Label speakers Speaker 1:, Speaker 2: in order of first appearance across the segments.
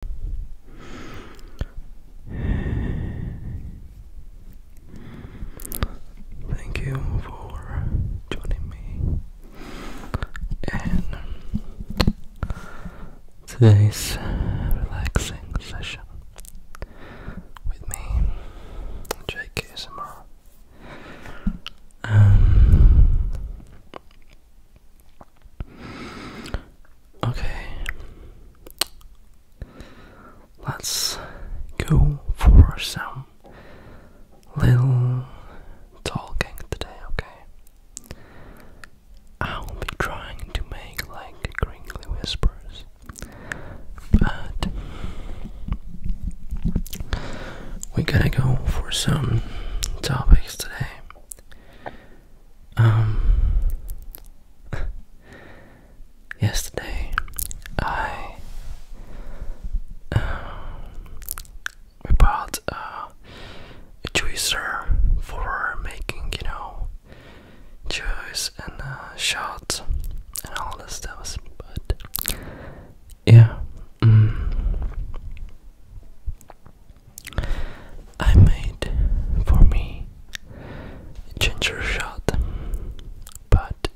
Speaker 1: Thank you for joining me. And today's relaxing session with me, Jake ASMR. Um, Okay. Let's go for some little talking today, okay? I'll be trying to make like crinkly whispers, but we're gonna go for some topics today. Um, yesterday I um, bought a juicer for making you know juice and uh, shots and all this stuff, but yeah. Mm. I made for me ginger shot, but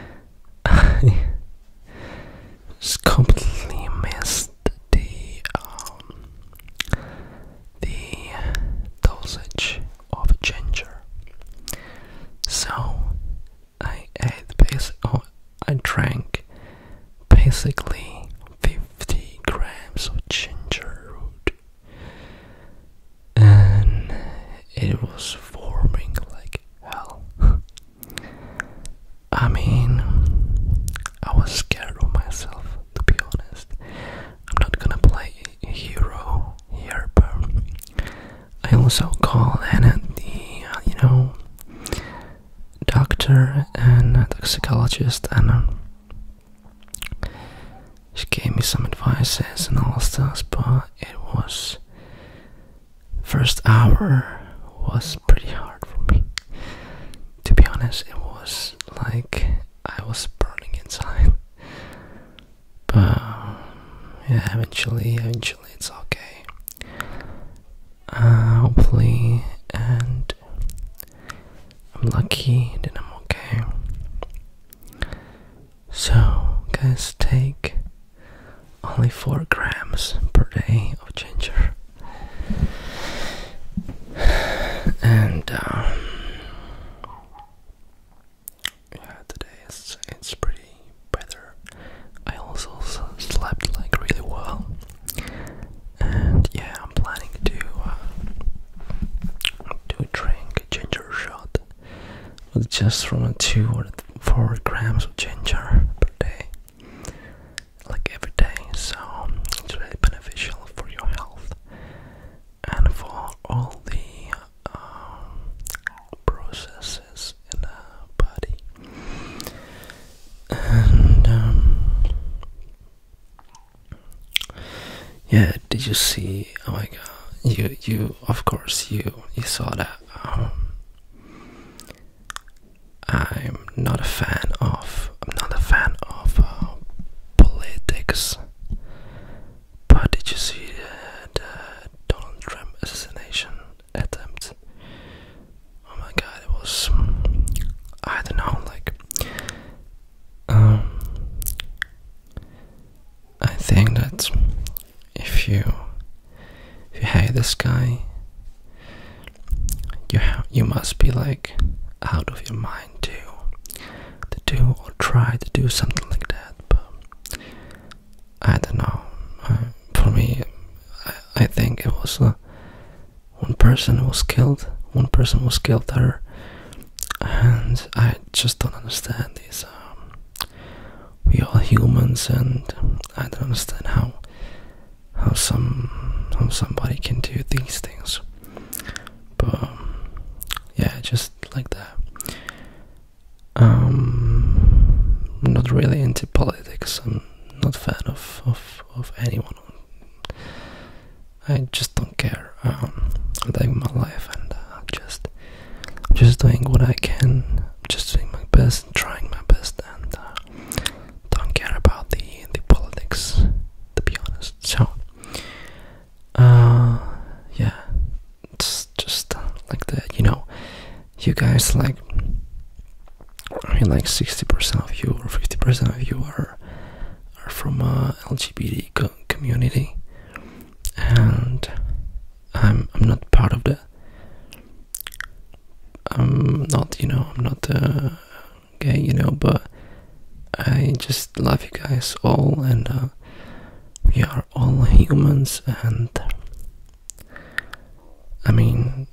Speaker 1: I completely missed the um, the dosage of ginger. So I ate basic. Oh, I drank basically 50 50 grams of ginger root and it was forming like hell. I mean, I was scared of myself to be honest. I'm not gonna play a hero here, but I also called Anna uh, the, you know, doctor and a toxicologist, and um, she gave me some advices and all stuff, but it was first hour was pretty hard for me. To be honest, it was like I was burning inside. But yeah, eventually, eventually it's okay uh, hopefully, and I'm lucky that I'm okay. So, guys, take only 4 grams per day of ginger. And, um, yeah, today it's, it's pretty better. I also slept like really well. And yeah, I'm planning to uh, to drink ginger shot, with just from two or four grams of ginger per day, like every day. So it's really beneficial for your health and for all the um, processes in the body. Um, yeah, did you see? Oh my god, you you of course you you saw that. Um, I'm not a fan of I'm not a fan of uh, politics. But did you see the uh, Donald Trump assassination attempt? oh my god, it was I don't know, like um, I think that if you if you hate this guy you you must be like out of your mind to to do or try to do something like that but I don't know uh, for me I, think it was one person was killed, one person was killed there, and I just don't understand this. Um, we are humans, and I don't understand how how some how somebody can do these things. But um, yeah, just like that. Um, I'm not really into politics. I'm not fan of of of anyone. I just don't care. I'm um, living my life, and uh, just, just doing what I can. I'm just doing my best, trying my best, and uh, don't care about the the politics, to be honest. So, uh, yeah, just, just like that, you know. You guys like I mean, like 60% of you or 50% of you are are from a uh, LGBT community, and I'm I'm not part of that. I'm not, you know, I'm not uh, gay, you know, but I just love you guys all, and uh, we are all humans, and I mean,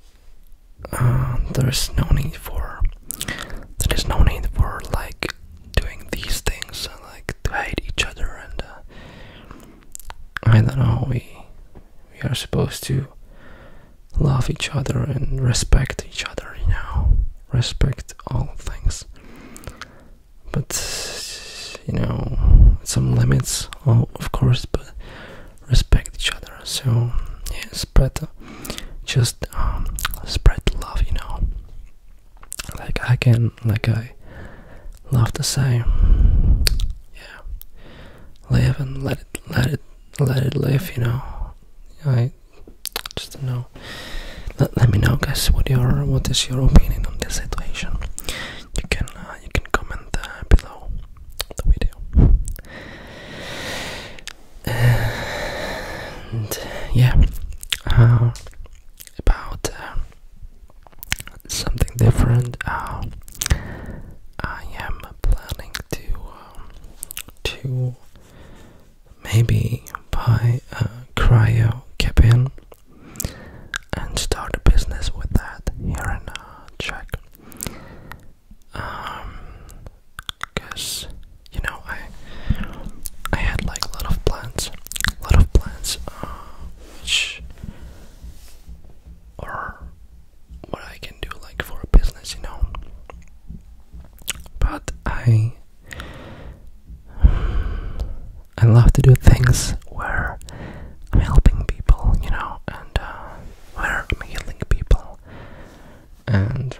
Speaker 1: uh, there's no need for there is no need for like doing these things like to hate each other and uh, I don't know we we are supposed to love each other and respect each other you know respect all things but you know some limits oh, of course but respect each other so yeah, spread just um, spread love you know like I can like I love to say yeah live and let it let it let it live you know I just don't know let, me know guys what your what is your opinion on this situation you can uh, you can comment uh, below that we And yeah, uh, about uh, something different. Uh, I am planning to to maybe buy a cryo cabin and start a business with that here in uh, Czech. Um, cause you know I I had like a lot of plans, a lot of plans, uh, which or what I can do like for business, you know. But I I love to do things where I'm helping people, you know, and uh, where I'm people, and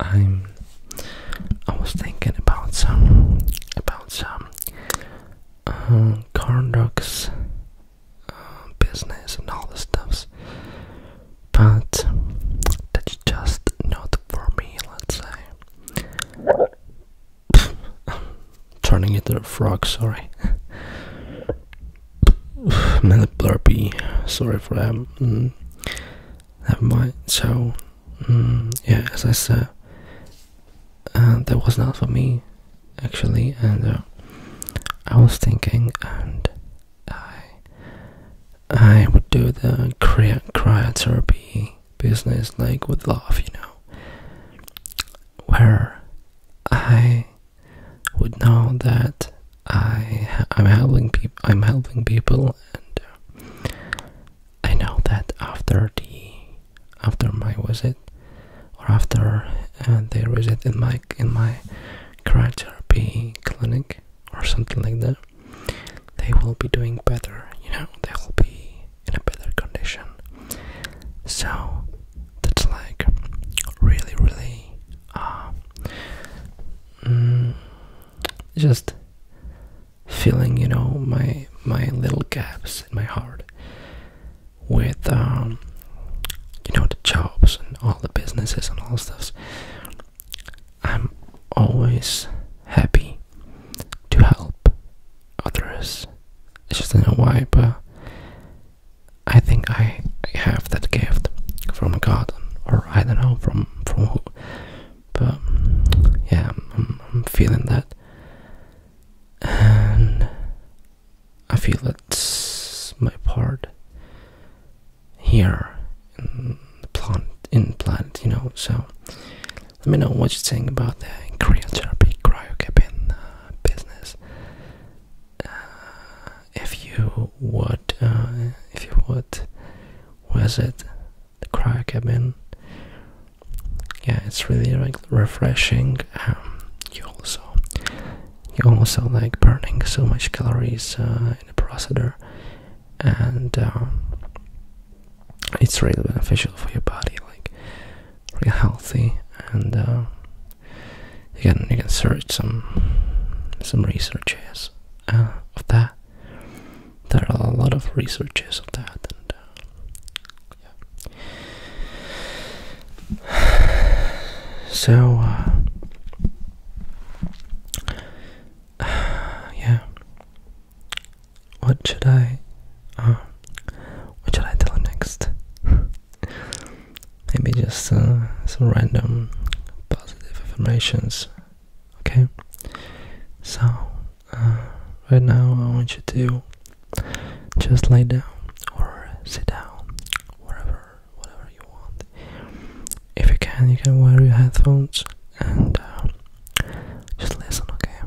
Speaker 1: I'm. I was thinking about some about some uh, uh, business and all the stuffs, but that's just not for me. Let's say. turning into a frog, sorry. I'm sorry for that. Mm, never mind. So, yeah, as I said, uh, that was not for me actually, and uh, I was thinking, and I, I would do the cryotherapy business like with love, you know, where I would know that I I'm helping people. I'm helping people, and uh, I know that after the after my visit, or after uh, their visit in my in my cryotherapy clinic or something like that, they will be doing better. You know, they will be in a better condition. So that's like really, really uh, mm, just filling, you know, my my little gaps in my heart with um, you know the jobs and all the businesses and all stuffs. I'm always happy to help others. I just don't know why, but I think I have that gift from God, or I don't know from from who. But yeah, I'm, I'm feeling that, and I feel that's my part here in the plant in plant, you know. So let me know what you think about the cryotherapy, cryocapping uh, business. Uh, if you would, uh, if you would, was it the cryocabin? Yeah, it's really like refreshing. Um, you also, you also like burning so much calories uh, in the procedure, and um, it's really beneficial for your body. Like really healthy and uh, you can you can search some some researches uh, of that there are a lot of researches of that and uh, yeah. so yeah what should I uh, what should I tell next? Maybe just uh, some random positive affirmations. Okay? So uh, right now I want you to just lay down or sit down wherever whatever you want. If you can you can wear your headphones and uh, just listen, okay?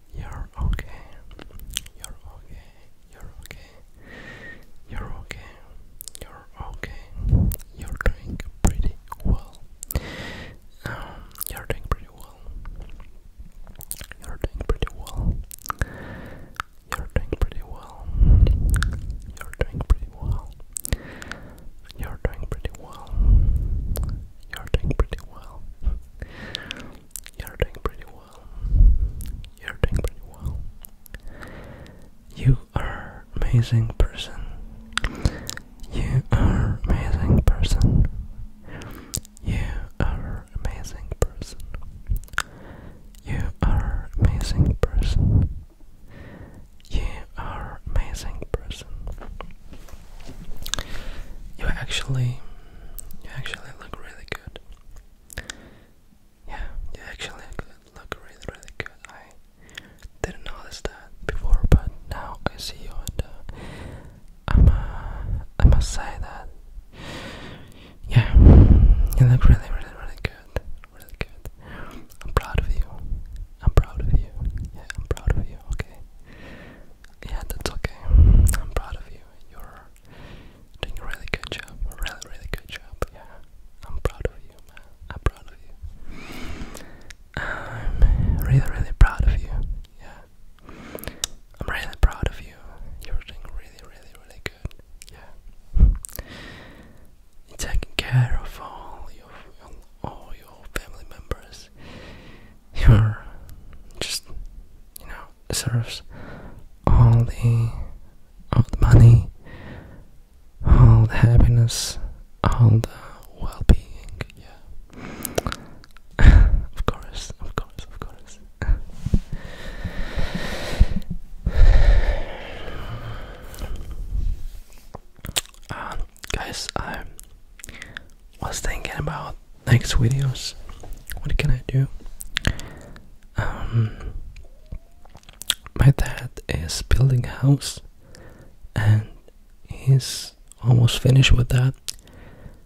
Speaker 1: You're okay. You're okay. You're okay. You're okay. You're okay. You're doing pretty well. Um, you're doing pretty well. You're doing pretty well. You're doing pretty well. You're doing pretty well. You're doing pretty well. doing pretty well. You're doing pretty well. You're doing pretty well. You are amazing person. You are amazing person. You are amazing person. You are amazing person. You are amazing person. You actually you actually look really good. Yeah, you actually look really, really good. I didn't notice that before, but now I see you, and uh, I'm, uh, must say that, yeah, you look really, really, really good, really good. I'm proud of you. I'm proud of you. Yeah, I'm proud of you. Okay yeah, that's okay. I'm proud of you. You're doing a really good job. really, really good job. Yeah, I'm proud of you, I'm proud of you. I'm really, really proud of you. Yeah, I'm really proud of you. You're doing really, really, really good. Yeah, you're taking care of all your all your family members you're just, you know, deserves all the, all the money, all the happiness, all the well being, yeah. of course, of course, of course. and um, guys, I was thinking about next videos. What can I do? Um, my dad is building a house, and he's almost finished with that.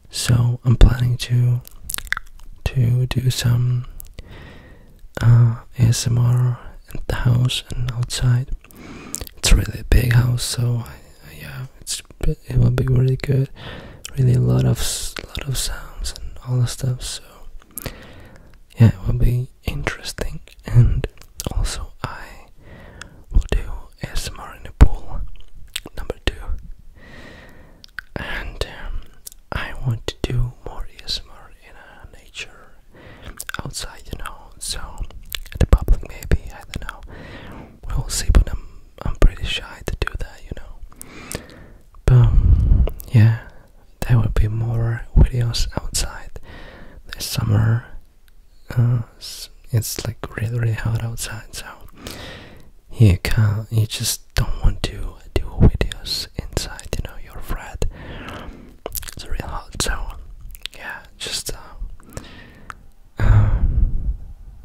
Speaker 1: So I'm planning to to do some uh, ASMR in the house and outside. It's a really big house, so I yeah, it's it will be really good. Really a lot of lot of sounds and all the stuff. So yeah, it will be interesting. And also I will do ASMR in the pool number two. And um, I want to do more ASMR in uh, nature outside, you know. So at the public maybe I don't know we'll see, but I'm I'm pretty shy to do that, you know. But um, yeah, there will be more videos outside this summer. Uh, it's like really really hot outside, so you can't. You just don't want to do videos inside. You know, you're afraid. It's real hot, so yeah, just. Uh, um,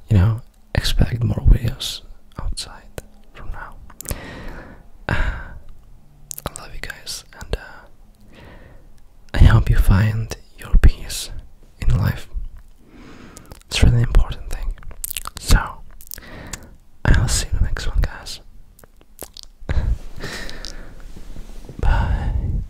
Speaker 1: you know, expect more videos outside from now. I love you guys, and uh, I hope you find your peace in life. It's really important thing. So, I'll see you in the next one, guys. Bye.